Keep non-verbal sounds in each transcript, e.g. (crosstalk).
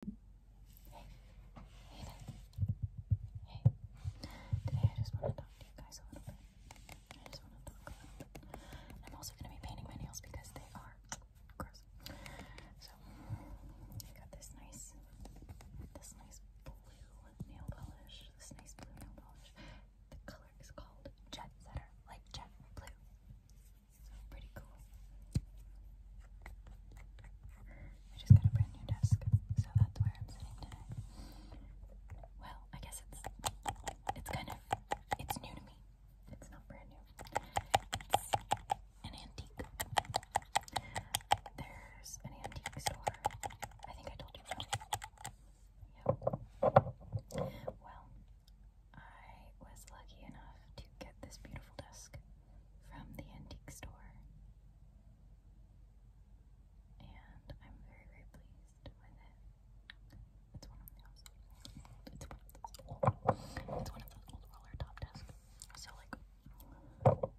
Today I just want to talk to you guys a little bit. I just want to talk I'm also going to be painting my nails because they are gross. So, I got this nice, this nice blue nail polish. This nice blue nail polish. The color is called Jet Like jet blue. So pretty cool. I just got a brand new desk, so that's where I'm sitting today. Well, I guess it's it's kind of it's new to me. It's not brand new. It's an antique. There's an antique store. I think I told you about it. Yep. Well, I was lucky enough to get this beautiful desk from the antique store. And I'm very, very pleased with it. It's one of those it's one of those old it's one of those old roller top desks. So like the little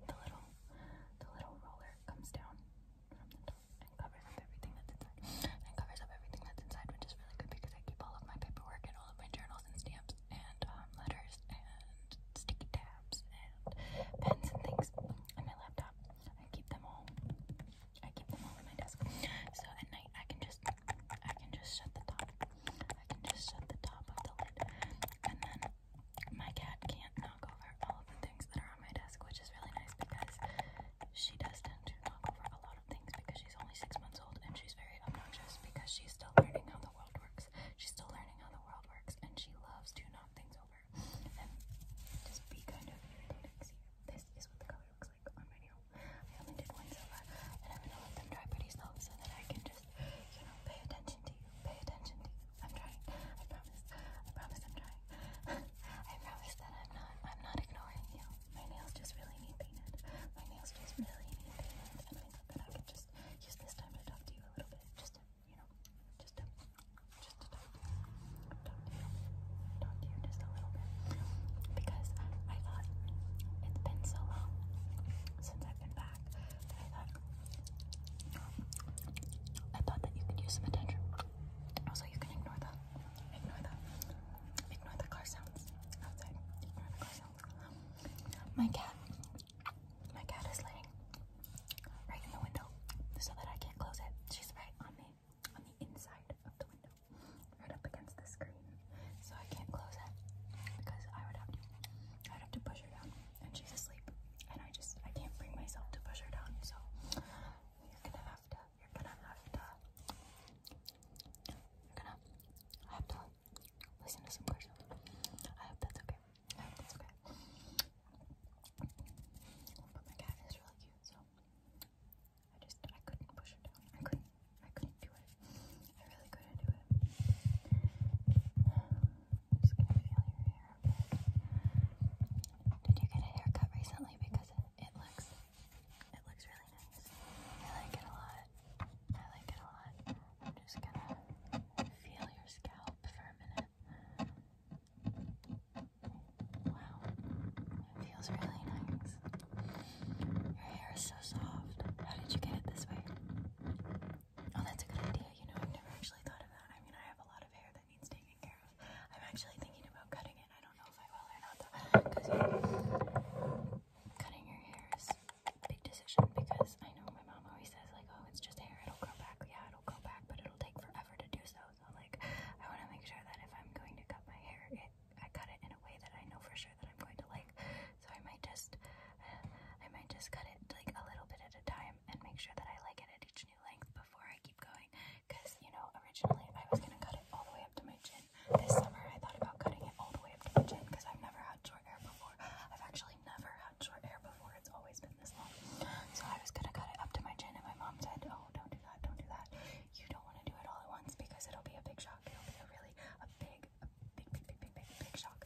the little roller comes down from the top and covers up everything that's inside. And covers up everything that's inside, which is really good because I keep all of my paperwork and all of my journals and stamps and um, letters and sticky tabs and pens and things and my laptop. I keep them all. I keep them all on my desk. So at night I can just I can just shut the top. I can just shut the top of the lid and then my cat can't knock over all of the things that are on my desk, which is really nice because she does tend to knock over a lot of things because She's only six months old and she's very obnoxious because she's still learning how the world works. She's still learning how the world works and she loves to knock things over and just be kind of this is what the color looks like on my nail. I only did one so and I'm gonna let them dry pretty slow so that I can just, you know, pay attention to you. Pay attention to you. I'm trying. I promise. I promise I'm trying. (laughs) I promise that I'm not I'm not ignoring you my nails just really need painted. My nails just really need painted. And I think that I can just use this time to talk to you a little bit. Just to, you know, just to, just to talk to you. Talk to you. Talk to you just a little bit. Because I thought it's been so long since I've been back that I thought, I thought that you could use some attention. Also, you can ignore that. Ignore that. Ignore the car sounds. Outside. My cat. My cat is laying right in the window so that I can't close it. She's right on me, on the inside of the window, right up against the screen. So I can't close it because I would have to, I would have to push her down, and she's asleep, and I just I can't bring myself to push her down. So you're gonna have to you're gonna have to you're gonna have to listen to some questions. I hope that's okay. I hope that's okay. But my cat is really cute, so I just I couldn't push it down. I couldn't I couldn't do it. I really couldn't do it. just gonna feel your hair. Did you get a haircut recently? Because it, it looks it looks really nice. I like it a lot. I like it a lot. I'm just gonna feel your scalp for a minute. Wow, it feels really nice. Your hair is so soft. How did you get it this way? Oh, that's a good idea. You know, I've never actually thought of that. I mean, I have a lot of hair that needs taking care of. I'm actually thinking about cutting it. I Cutting your hair is a big decision because I know my mom always says, like, oh, it's just hair, it'll grow back. Yeah, it'll grow back, but it'll take forever to do so. So, like, I want to make sure that if I'm going to cut my hair, it, I cut it in a way that I know for sure that I'm going to like. So, I might just, I might just cut it like a little bit at a time and make sure that I like it at each new length before I keep going because you know originally I was gonna cut it all the way up to my chin. This summer I thought about cutting it all the way up to my chin because I've never had short hair before. I've actually never had short hair before. It's always been this long. So I was gonna cut it up to my chin, and my mom said, "Oh, don't do that. Don't do that. You don't want to do it all at once because it'll be a big shock. It'll be a really a big, big, big, big, big, big shock."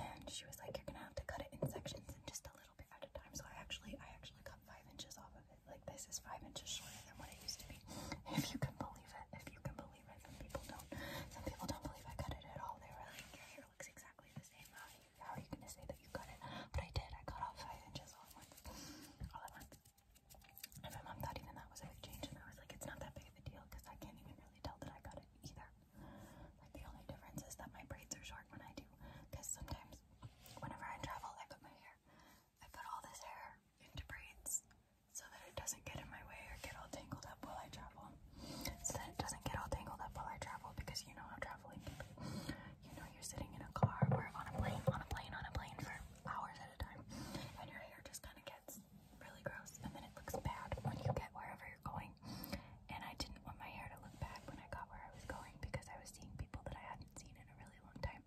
And she was like, "You're gonna have to cut it in sections and just a little bit at a time." So I actually, I actually cut five inches off of it like this is five inches shorter than what it used to be. (laughs) If you can believe it, if you can believe it, some people don't. Some people don't believe I cut it at all. They were like, your hair looks exactly the same. How are you, how are you gonna say that you cut it? But I did. I cut off five inches all at once. All at once. And my mom thought even that was a big change, and I was like, it's not that big of a deal because I can't even really tell that I got it either. Like the only difference is that my braids are short when I do, because sometimes whenever I travel, I cut my hair I put all this hair into braids so that it doesn't get in my way or get all tangled up while I travel. So that it doesn't get all tangled up while I travel because you know how traveling can You know you're sitting in a car or on a plane, on a plane, on a plane for hours at a time and your hair just kind of gets really gross and then it looks bad when you get wherever you're going. And I didn't want my hair to look bad when I got where I was going because I was seeing people that I hadn't seen in a really long time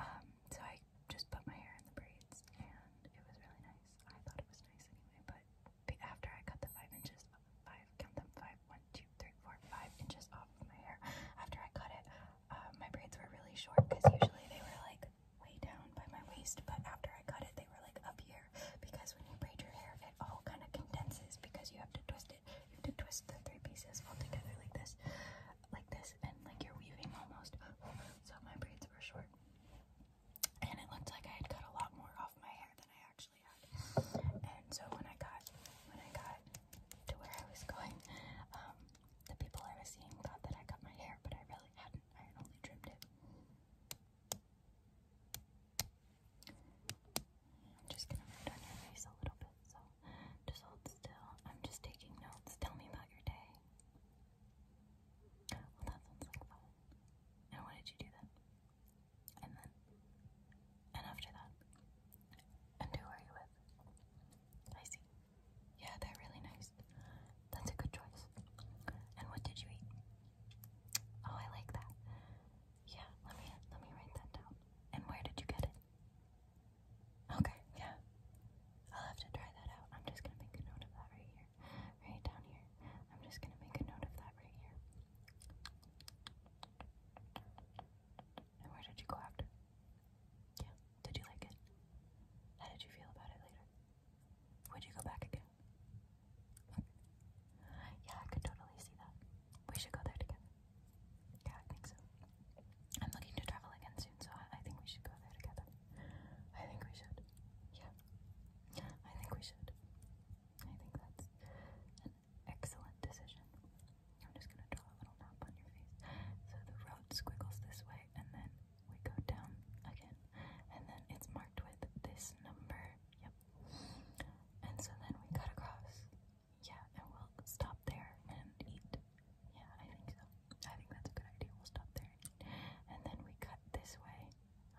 um, so I just put my hair in the braids and it was really nice. I thought it was nice anyway, but after I cut the five inches, five, count them, five, one, two, three, four, five inches off of my hair. After I cut it, uh, my braids were really short because usually they were like way down by my waist, but after I cut it, they were like up here because when you braid your hair, it all kind of condenses because you have to twist it you have to twist the three pieces all together like this, like this, and like you're weaving almost. So my braids were short, and it looked like I had cut a lot more off my hair than I actually had. And so when I got when I got to where I was going, um, the people I was seeing thought that I cut my hair, but I really hadn't. I had only trimmed it. I'm just gonna move down your face a little bit, so just hold still. I'm just taking notes. Tell me about your day. Well, that sounds like fun. And why did you do that? And then? And after that? And who are you with? I see. Yeah, they're really nice. That's a good choice. And what did you eat? Oh, I like that. Yeah, let me let me write that down. And where did you get it? Okay, yeah. I'll have to try that out. I'm just gonna make a note of that right here. Right down here. I'm just gonna make a note of that right here. where did you go after? Yeah. Did you like it? How did you feel about it later? Would you go back again? yeah, I could totally see that. We should go there together. Yeah, I think so. I'm looking to travel again soon, so I, think we should go there together. I think we should. Yeah. I think we should. I think that's excellent decision. I'm just gonna draw a little map on your face. So the road squiggles this way, and then we go down again, and then it's marked with this number. Yep, and so then we cut across. Yeah, and we'll stop there and eat. Yeah, I think so. I think that's a good idea. We'll stop there and eat. And then we cut this way.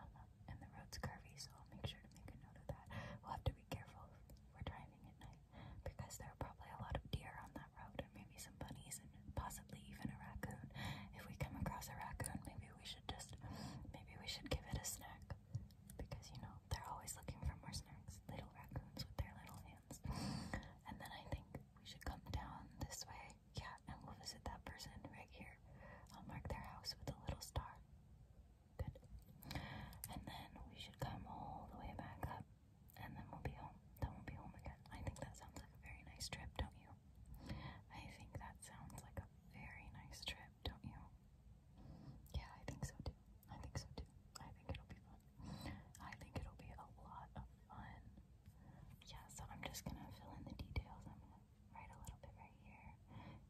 Um, and the road's curvy, so I'll make sure to make a note of that. We'll have to be careful if we're driving at night because there are probably a lot of deer on that road, and maybe some bunnies, and possibly even a raccoon. If we come across a raccoon, maybe we should just, maybe we should give it a snack because you know they're always looking for more snacks, little raccoons with their little hands. And then I think we should come down this way, yeah, and we'll visit that person right here. I'll mark their house with a little star. Good. And then we should come all the way back up, and then we'll be home. Then we'll be home again. I think that sounds like a very nice trip, don't you? I think that sounds like a very nice trip don't you? Yeah, I think so too. I think so too. I think it'll be fun. I think it'll be a lot of fun. Yeah, so I'm just gonna fill in the details. I'm gonna write a little bit right here.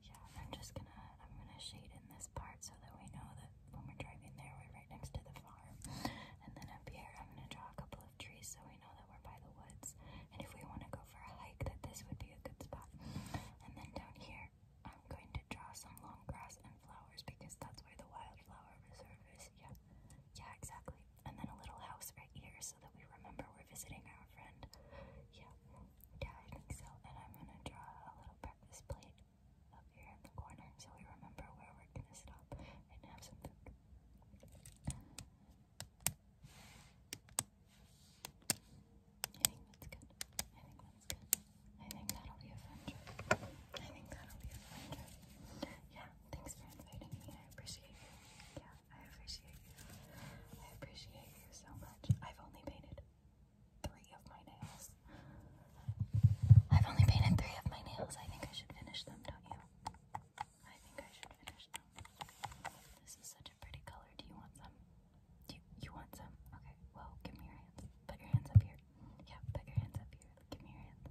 Yeah, I'm just gonna I'm gonna shade in this part so that we know that when we're driving there we're right next to the farm. And then up here I'm gonna draw a couple of trees so we know that we're by the woods and if we want to go for a hike, that this would be a good spot. And then down here, I'm going to draw some long grass and flowers because that's where the wildflower reserve is. Yeah, yeah, exactly. And then a little house right here so that we remember we're visiting our friend. Yeah, yeah, I think so. And I'm gonna draw a little breakfast plate up here in the corner so we remember where we're gonna stop and have some food that's good. I think that's good. I think that'll be a fun trip. I think that'll be a fun trip. Yeah, thanks for inviting me. I appreciate you. Yeah, I appreciate you. I appreciate you so much. I've only painted three of my nails. I've only painted three of my nails. I think I should finish them, don't you? I think I should finish them. This is such pretty color. Do you want some? Do you, want some? Okay, well, give me your hands. Put your hands up here. Yeah, put your hands up here. Give me your hands.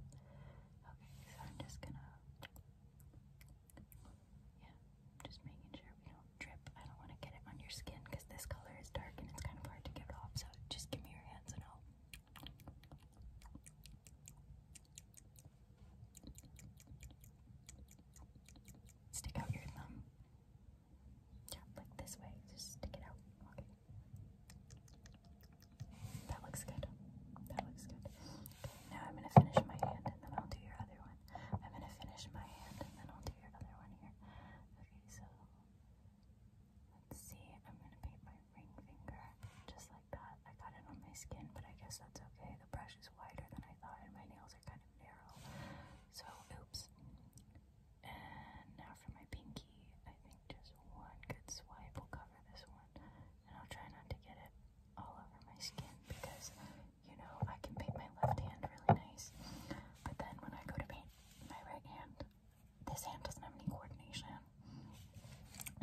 Okay, so I'm just gonna. Yeah, just making sure we don't drip. I don't want to get it on your skin because this color is dark and it's kind of hard to get it off. So just give me your hands and I'll stick out your thumb. Yeah, like this way. Just stick it out. Okay. That looks good. That looks good. Okay, now I'm gonna finish my hand and then I'll do your other one. I'm gonna finish my hand and then I'll do your other one here. Okay, so let's see. I'm gonna paint my ring finger just like that. I got it on my skin, but I guess that's okay. The brush mustache wider than I thought, and my nails are kind of narrow. So, oops. And now for my pinky, I think just one good swipe will cover this one. And I'll try not to get it all over my skin because, you know, I can paint my left hand really nice. But then when I go to paint my right hand, this hand doesn't have any coordination.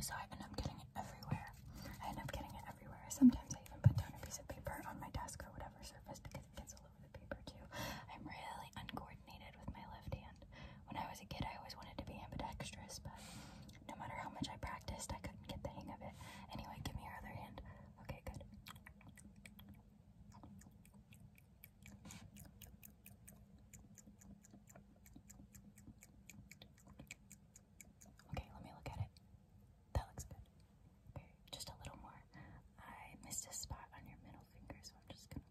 So I end up getting it everywhere. I end up getting it everywhere. Sometimes I even put down a piece of paper on my desk or whatever surface because it gets all over the paper too. I'm really uncoordinated with my left hand. When I was a kid, I always wanted to be ambidextrous, but no matter how much I practiced, I couldn't get the hang of it. Anyway, give me your other hand. Okay, good. Okay, let me look at it. That looks good. Okay, just a little more. I missed a spot on your middle finger, so I'm just gonna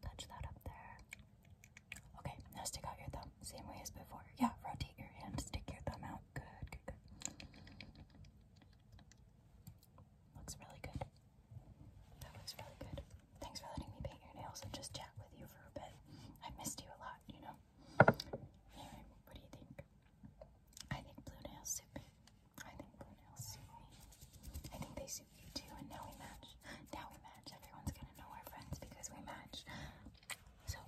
touch that up there. Okay, now stick out your thumb, same way as before. Yeah, rotate your hand, stick your thumb out. Good, good, good. Looks really good. That looks really good. Thanks for letting me paint your nails and just chat with you for I missed you a lot, you know. what do you think? I think blue nails suit me. I think blue nails suit me. I think they suit you too, and now we match. Now we match. Everyone's gonna know our friends because we match. So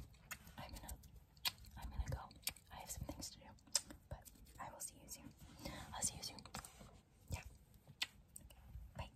I'm gonna, I'm gonna go. I have some things to do, but I will see you soon. I'll see you soon. Yeah. Bye.